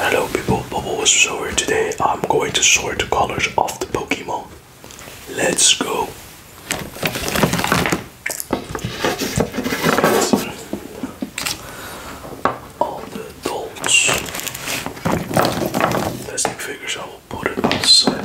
Hello people, Bubble was over today. I'm going to sort the colors of the Pokemon. Let's go. All the dolls. Plastic figures I will put it outside.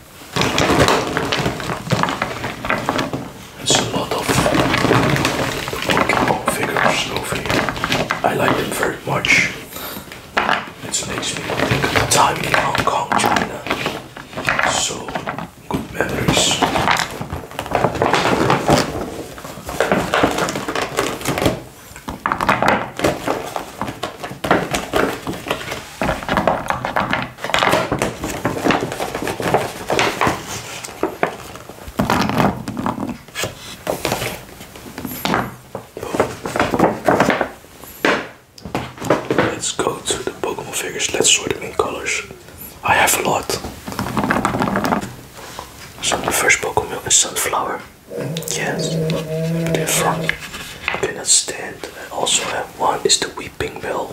There's a lot of Pokemon figures over here. I like them very much. It makes me think of the time in Hong Kong, China. So good memories. Let's go to the Pokemon figures. Let's sort them in colors. I have a lot. So the first Pokemon is Sunflower. Yes, but in front. I cannot stand. I also have one is the Weeping Bell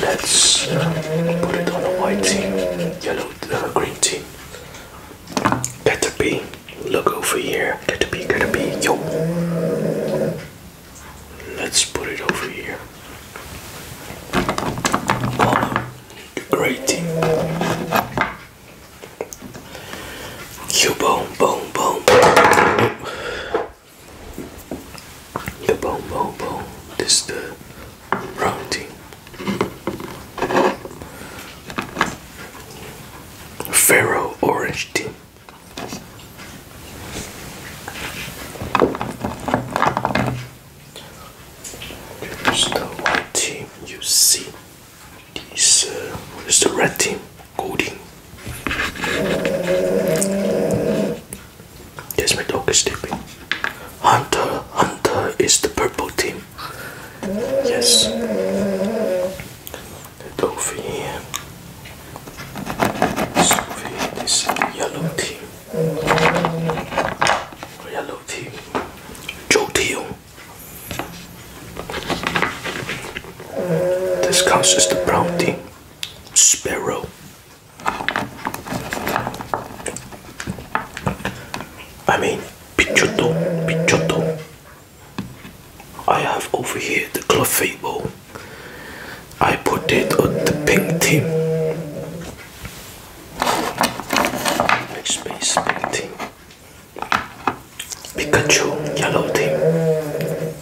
let's uh, put it on the white team, yellow, uh, green team. Caterpie, look over here. Caterpie, Caterpie, yo. Let's put it over here. Gollum, great team. Cubone, bone, bone. The boom, boom, This the wrong team. Pharaoh orange team. Here's the white team. You see, these. Uh, the red team? Golding. Yes, my dog is sleeping. Hunter, Hunter is the purple team. Yes. The Dolphin here. This is the yellow team. Yellow team. Joe Teal. This counts as the brown team sparrow. I mean, pichotto, pichotto. I have over here the clefable. I put it on the pink team. Make space pink team. Pikachu yellow team.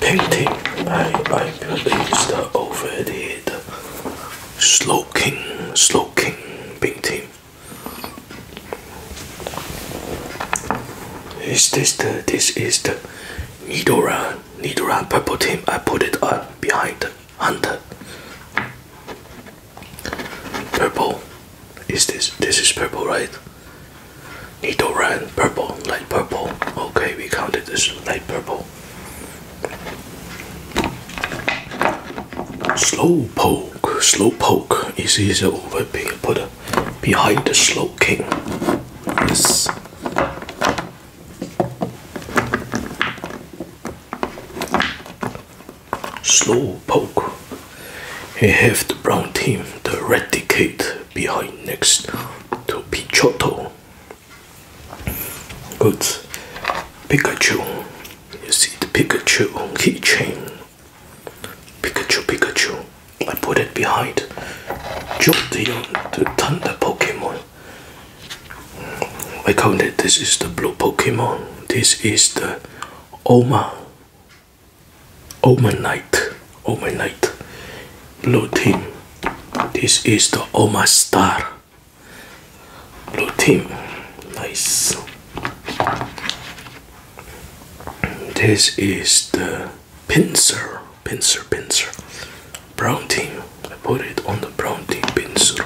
Painting, I, I believe is over the, the sloking, painting. Is this the, this is the Nidora, Nidora purple team. I put it on behind the Hunter. Purple is this this is purple right? Nito ran purple, light purple. Okay, we counted this light purple. Slow poke, slow poke. is is over put behind the slow king. Yes slow poke and have the brown team to eradicate behind next to Pichotto. Good Pikachu. You see the Pikachu keychain. Pikachu Pikachu. I put it behind Jolteon uh, the Thunder Pokemon. I call it this is the blue Pokemon. This is the Oma. Oh Oma oh Knight. Oma night, Blue oh team. This is the Oma Star. Blue team. Nice. This is the pincer. Pincer, pincer. Brown team. I put it on the brown team pincer.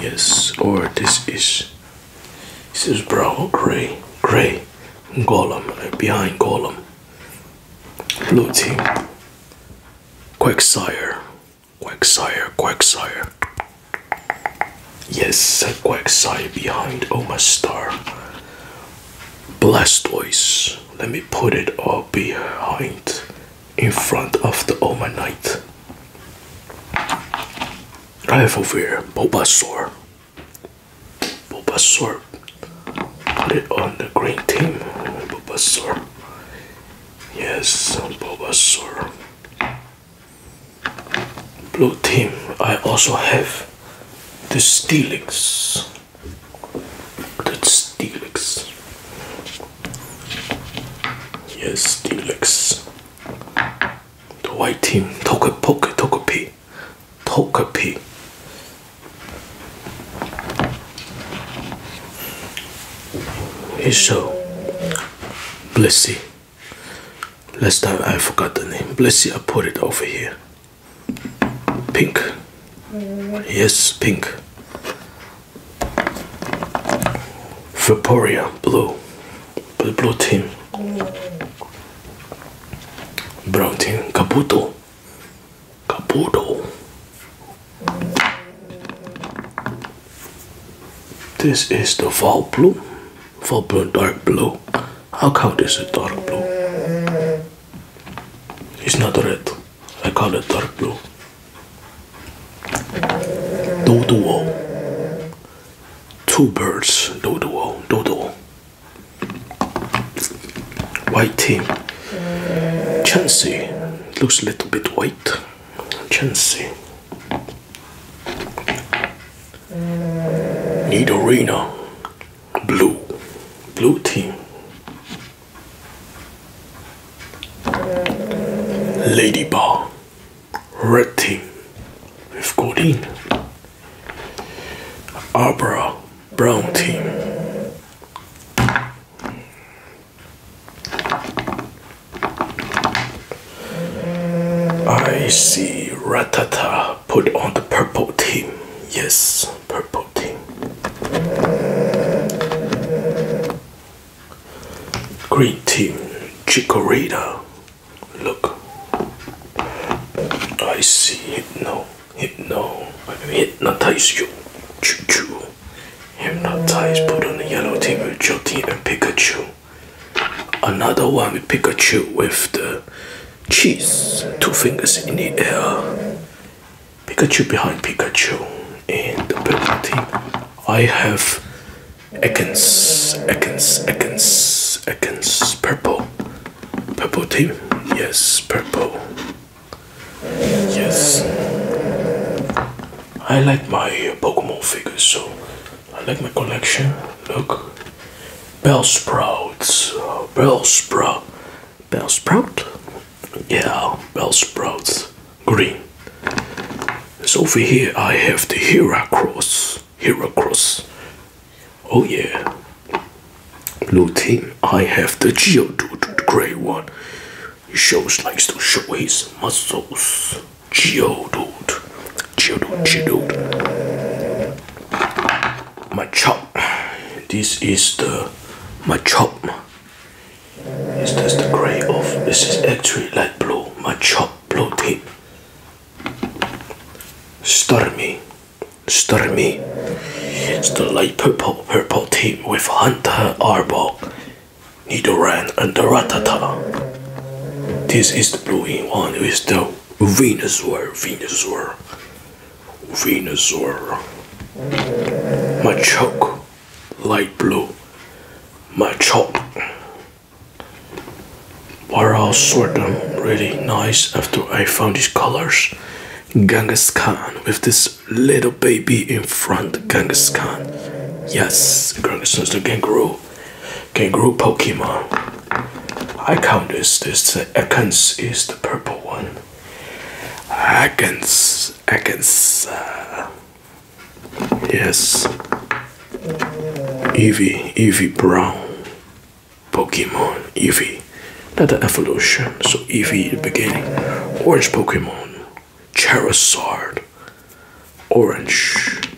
Yes, or this is this is brown, gray, gray, golem, behind golem, blue team, quacksire, quacksire, quacksire. Yes, quacksire behind Oma Star. Blastoise. Let me put it all behind in front of the Oma Knight. I have over here Boba Bulbasaur. Put it on the green team. Boba Bulbasaur. Yes, Bulbasaur. Blue team. I also have the Steelix. The Steelix. Yes, Steelix. The white team, Tokapoke, Tokapi, Tokapi. Isho, Blissy. Last time I forgot the name. Blissy, I put it over here. Pink. Yes, pink. Vaporia blue, blue, blue team, brown team, Kabuto, Kabuto. This is the fall blue, fall blue dark blue. How come this is dark blue? It's not red. I call it dark blue. Do Two birds. Do duo. Do duo. White team. Chansey. Looks a little bit white. Chansey. Need arena. Blue. Blue team. Lady Bar red team with Godin. Abra, brown team. I see Ratata put on the purple team. Yes, purple team. Green team, Chikorita. Look, I see hypno, hypno. I hypnotize you. Choo choo. Hypnotize, put on the yellow team with Jotty and Pikachu. Another one with Pikachu with the cheese. Two fingers in the air. Pikachu behind Pikachu in the purple team. I have Ekans, Ekans, Ekans, Ekans, purple, purple tape, yes, purple, yes. I like my Pokemon figures, so I like my collection. Look, Bellsprout, Bellsprout, Bellsprout, yeah, Bellsprout green. So over here I have the Hera Cross. Hera Cross. Oh yeah. Blue team, I have the Geodude, the grey one. He shows likes to show his muscles. Geodude. Geodude, Geodude. My chop. This is the my chop. Is this the grey of? This is actually light blue, My chop blue tip. Stormy, Stormy. It's the light purple purple tip with Hunter Arbor, Nidoran, and the Ratata. This is the blue one with the Venusaur, Venusaur, Venusaur. Machoke light blue, my chalk where I'll sort them really nice after I found these colors Genghis Khan with this little baby in front Genghis Khan yes Genghis is the kangaroo kangaroo Pokemon I count this this the Ekans is the purple one Ekans Ekans uh, Yes. Eevee, Eevee Brown. Pokemon, Eevee. That's an evolution. So Eevee the beginning. Orange Pokemon. Charizard. Orange.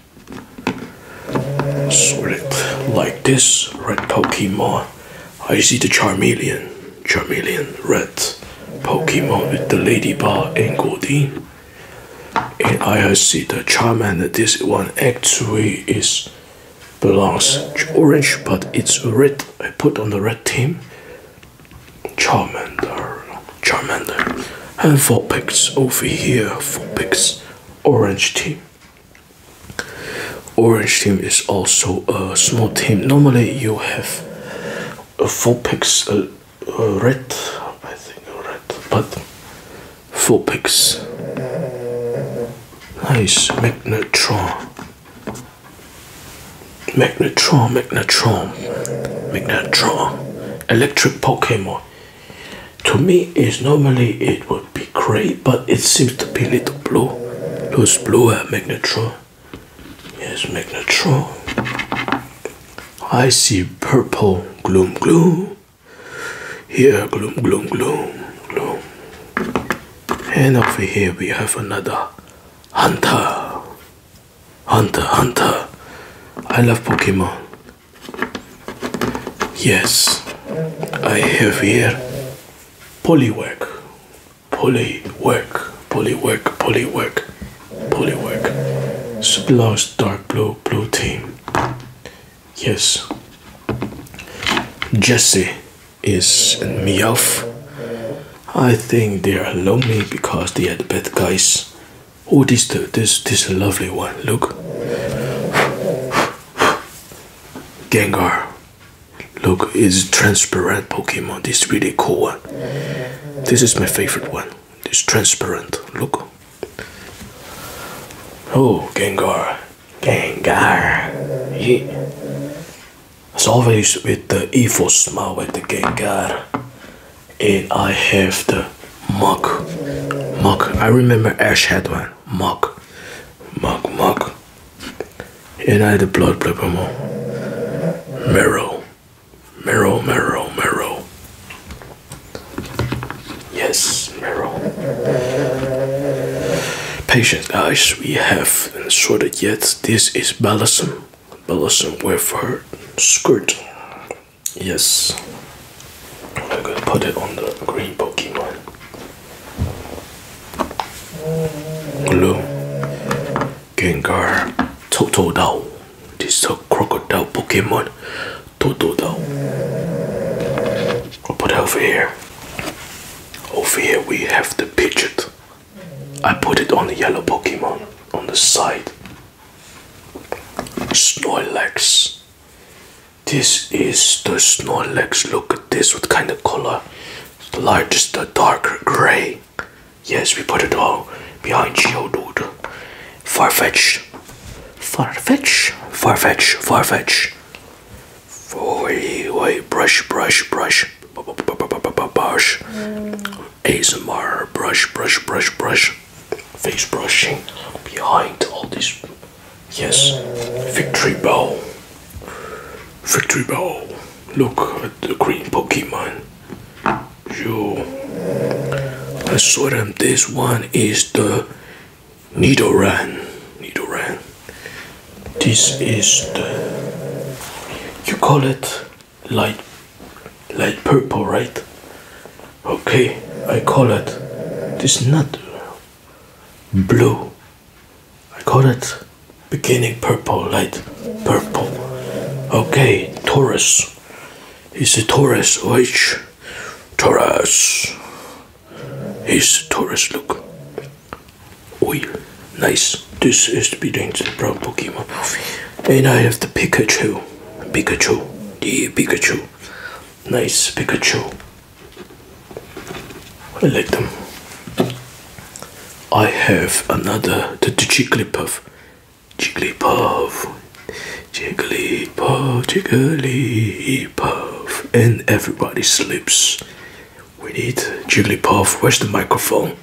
Sweat like this red Pokemon. I see the Charmeleon. Charmeleon red. Pokemon with the Ladybug and Goldeen. And I have seen the Charmander. This one actually is belongs orange, but it's red. I put on the red team. Charmander, Charmander. And four picks over here. Four picks. Orange team. Orange team is also a small team. Normally you have a uh, four picks. Uh, uh, red, I think red, but four picks. Nice magnetron, magnetron, magnetron, magnetron, electric Pokemon. To me, is normally it would be grey, but it seems to be little blue. Those blue are uh, magnetron. Yes, Magnetron. I see purple gloom gloom. Here gloom gloom gloom gloom. And over here we have another hunter. Hunter hunter. I love Pokemon. Yes, I have here Poliwag. Poliwag pulley work, pulley work, pulley work. Super lost dark blue, blue team. Yes. Jesse is me off. I think they are lonely because they are the bad guys. Oh, this this this lovely one. Look, Gengar. Look, it's transparent Pokemon. This really cool one. This is my favorite one. It's transparent. Look. Oh, Gengar. Gengar. He. As always, with the evil smile with the Gengar. And I have the mug. Mug. I remember Ash had one. Mug. Mug, mug. And I had the blood purple. Marrow. Meryl, Meryl, Meryl. Yes, Meryl. Patient guys, we have sorted yet. This is Balsam. Balsam with for skirt. Yes. I'm gonna put it on the green Pokemon. Blue. Gengar, Totodile. This is crocodile Pokemon, Totodile. I'll put over here. Over here we have the Pidgeot. I put it on the yellow Pokemon on the side. Snorlax. This is the Snorlax. Look at this. What kind of color? The largest, the darker gray. Yes, we put it all behind Geodude. Farfetch. Farfetch. Farfetch. Farfetch. Wait, wait, brush, brush, brush. Brush. brush, Brush, brush, brush, brush. Face brushing behind all this. Yes. Victory Bell. Victory Bell. Look at the green Pokemon. Yo, I saw them. This one is the Needle ran. This is the. You call it light, light purple, right? Okay, I call it. This not blue. I call it beginning purple, light purple. Okay, Taurus. He's a Taurus, which Taurus. He's a Taurus, look. Oh, nice. This is the beginning to the brown Pokemon. And I have the Pikachu. Pikachu. The Pikachu. Nice Pikachu. I like them. I have another the, the Jigglypuff. Jigglypuff. Jigglypuff, Jigglypuff. And everybody sleeps. We need Jigglypuff. Where's the microphone?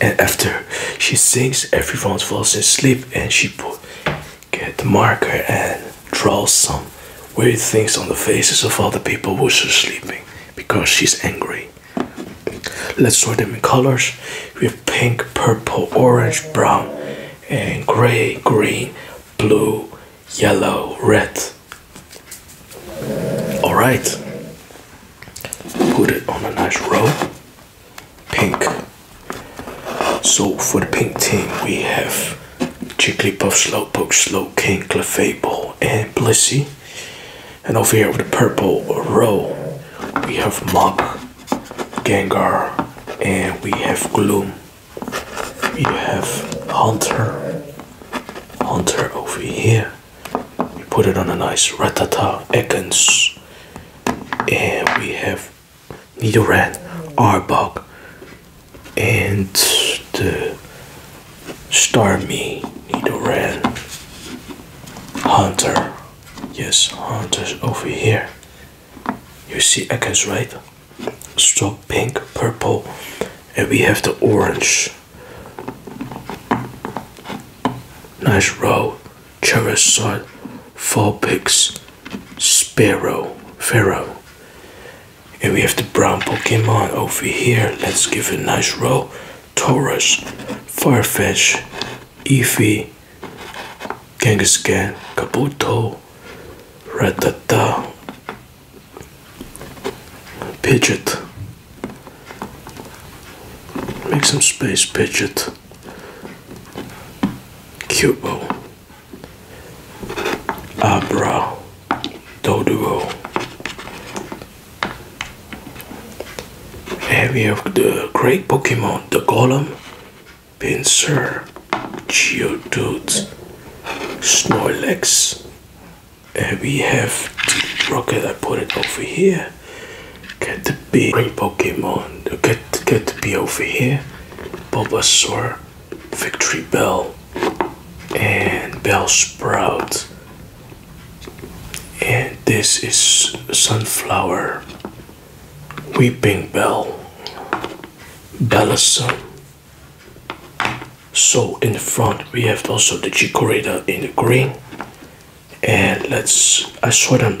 And after she sings, everyone falls asleep and she put get the marker and draw some weird things on the faces of other people who are sleeping because she's angry. Let's sort them in colors. We have pink, purple, orange, brown, and gray, green, blue, yellow, red. All right. Put it on a nice row. Pink. So for the pink team, we have Jigglypuff, Slowpoke, Slow King, Clefable, and Blissey. And over here with the purple row, we have Mop, Gengar, and we have Gloom. We have Hunter. Hunter over here. We put it on a nice Ratata Ekans. And we have Nidoran, Arbok, and the Star me, Nidoran. Hunter. Yes, Hunter's over here. You see Ekans, right? Strong pink, purple, and we have the orange. Nice row. Charizard, Vulpix, Sparrow, Pharaoh. And we have the brown Pokemon over here. Let's give it a nice row. Taurus, Firefish, Eevee, Kangaskhan, Kabuto, Rattata, Pidgeot. Make some space, Pidgeot. Cubo, Abra, Doduo, and we have the great Pokemon, the Golem, Pinsir, Geodude, Snorlax. And we have the Rocket, I put it over here. Get the big great Pokemon, get, get the B over here. Bobasaur, Victory Bell, and Bell Sprout and this is sunflower weeping bell balsam um, so in the front we have also the chikorita in the green and let's I saw them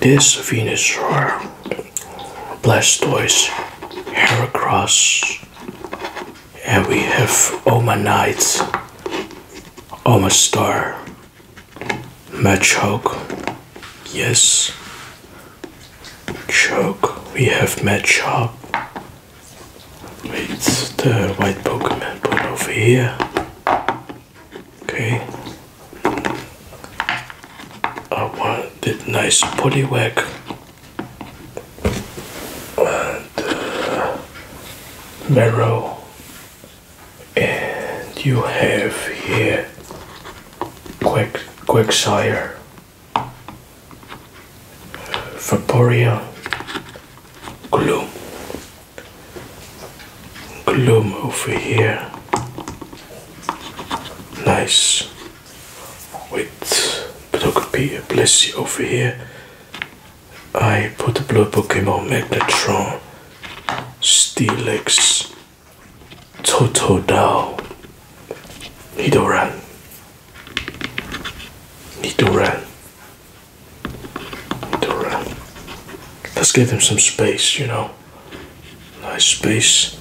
this Venus Blastoise Heracross and we have Oma Knight, Oma Star, Match Hulk, yes, Choke, we have Match Hop, wait, the white Pokemon put over here, okay, I want the nice Poliwag and uh, marrow and you have here quick quicksire uh, vaporia gloom gloom over here nice with Blissy over here I put the blue Pokemon Magnetron, Steelix, Totodile, Nidoran, Nidoran, Nidoran. Let's give him some space, you know. Nice space.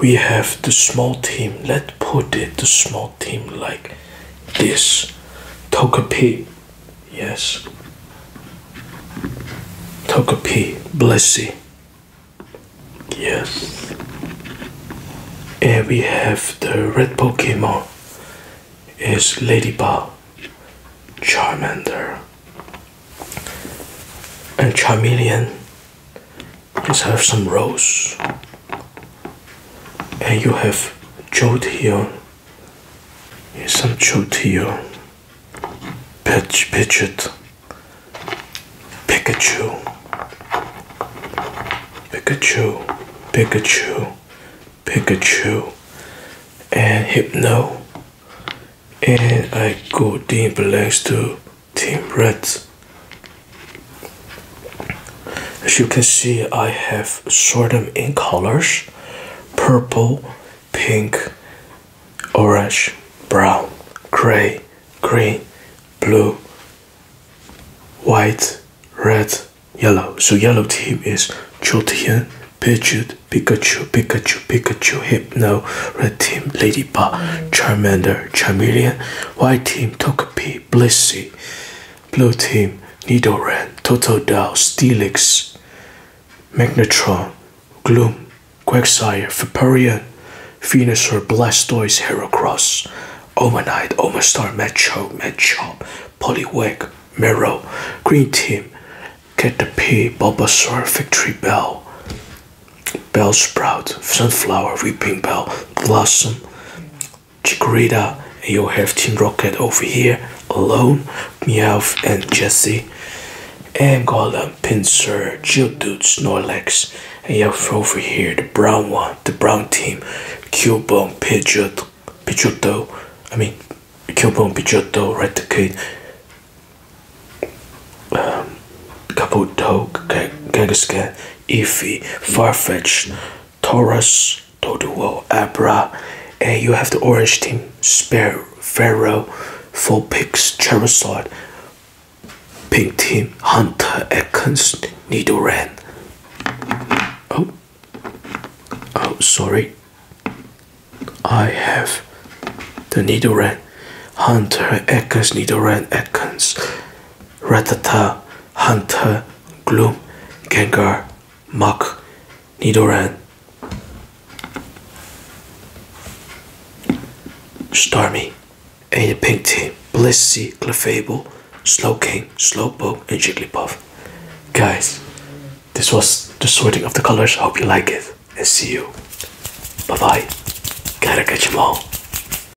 We have the small team. Let's put it the small team like this. Tokapi, yes. Tokapi, Blessy, yes. And we have the red Pokemon is Ladybug, Charmander, and Charmeleon, Let's have some Rose, And you have jot here. some jot here. Pitch, Pidgeot. Pikachu. Pikachu. Pikachu. Pikachu. And Hypno. And I go deep belongs to Team Red. As you can see, I have sorted them in colors purple, pink, orange, brown, gray, green, blue, white, red, yellow. So, yellow team is Jolteon, Pidgeot, Pikachu, Pikachu, Pikachu, Hypno, Red Team, Ladybug, Charmander, Charmeleon, White Team, Togepi, Shiny, Blissey, Blue Team, Nidoran, Totodile, Steelix, Magnetron, Gloom, Quagsire, Vaporeon, Venusaur, Blastoise, Heracross, Omanite, Omastar, Macho, Machop, Poliwag, Mero, Green Team, Caterpie, Bulbasaur, Victory Bell, Bellsprout, Sunflower, Weeping Bell, Blossom, Chikorita and you have Team Rocket over here alone Meowth and Jessie, and Golem, Pinsir, Geodude, Snorlax and you have over here the brown one, the brown team Cubone, Pidgeot, Pidgeotto I mean Cubone, Pidgeotto, Raticate um, Kabuto, Scare. Iffy, Farfetch, Taurus, Toduo, Abra, and you have the orange team, Spear, Pharaoh, Four Fulpix, Charizard, Pink team, Hunter, Ekans, Nidoran. Oh, oh, sorry. I have the Nidoran, Hunter, Ekans, Nidoran, Atkins, Ratata, Hunter, Gloom, Gengar, Mach, Nidoran, Starmie, and your pink team, Blissey, Clefable, Slowking, Slowpoke, and Jigglypuff. Guys, this was the sorting of the colors. Hope you like it, and see you. Bye bye. Gotta catch 'em all.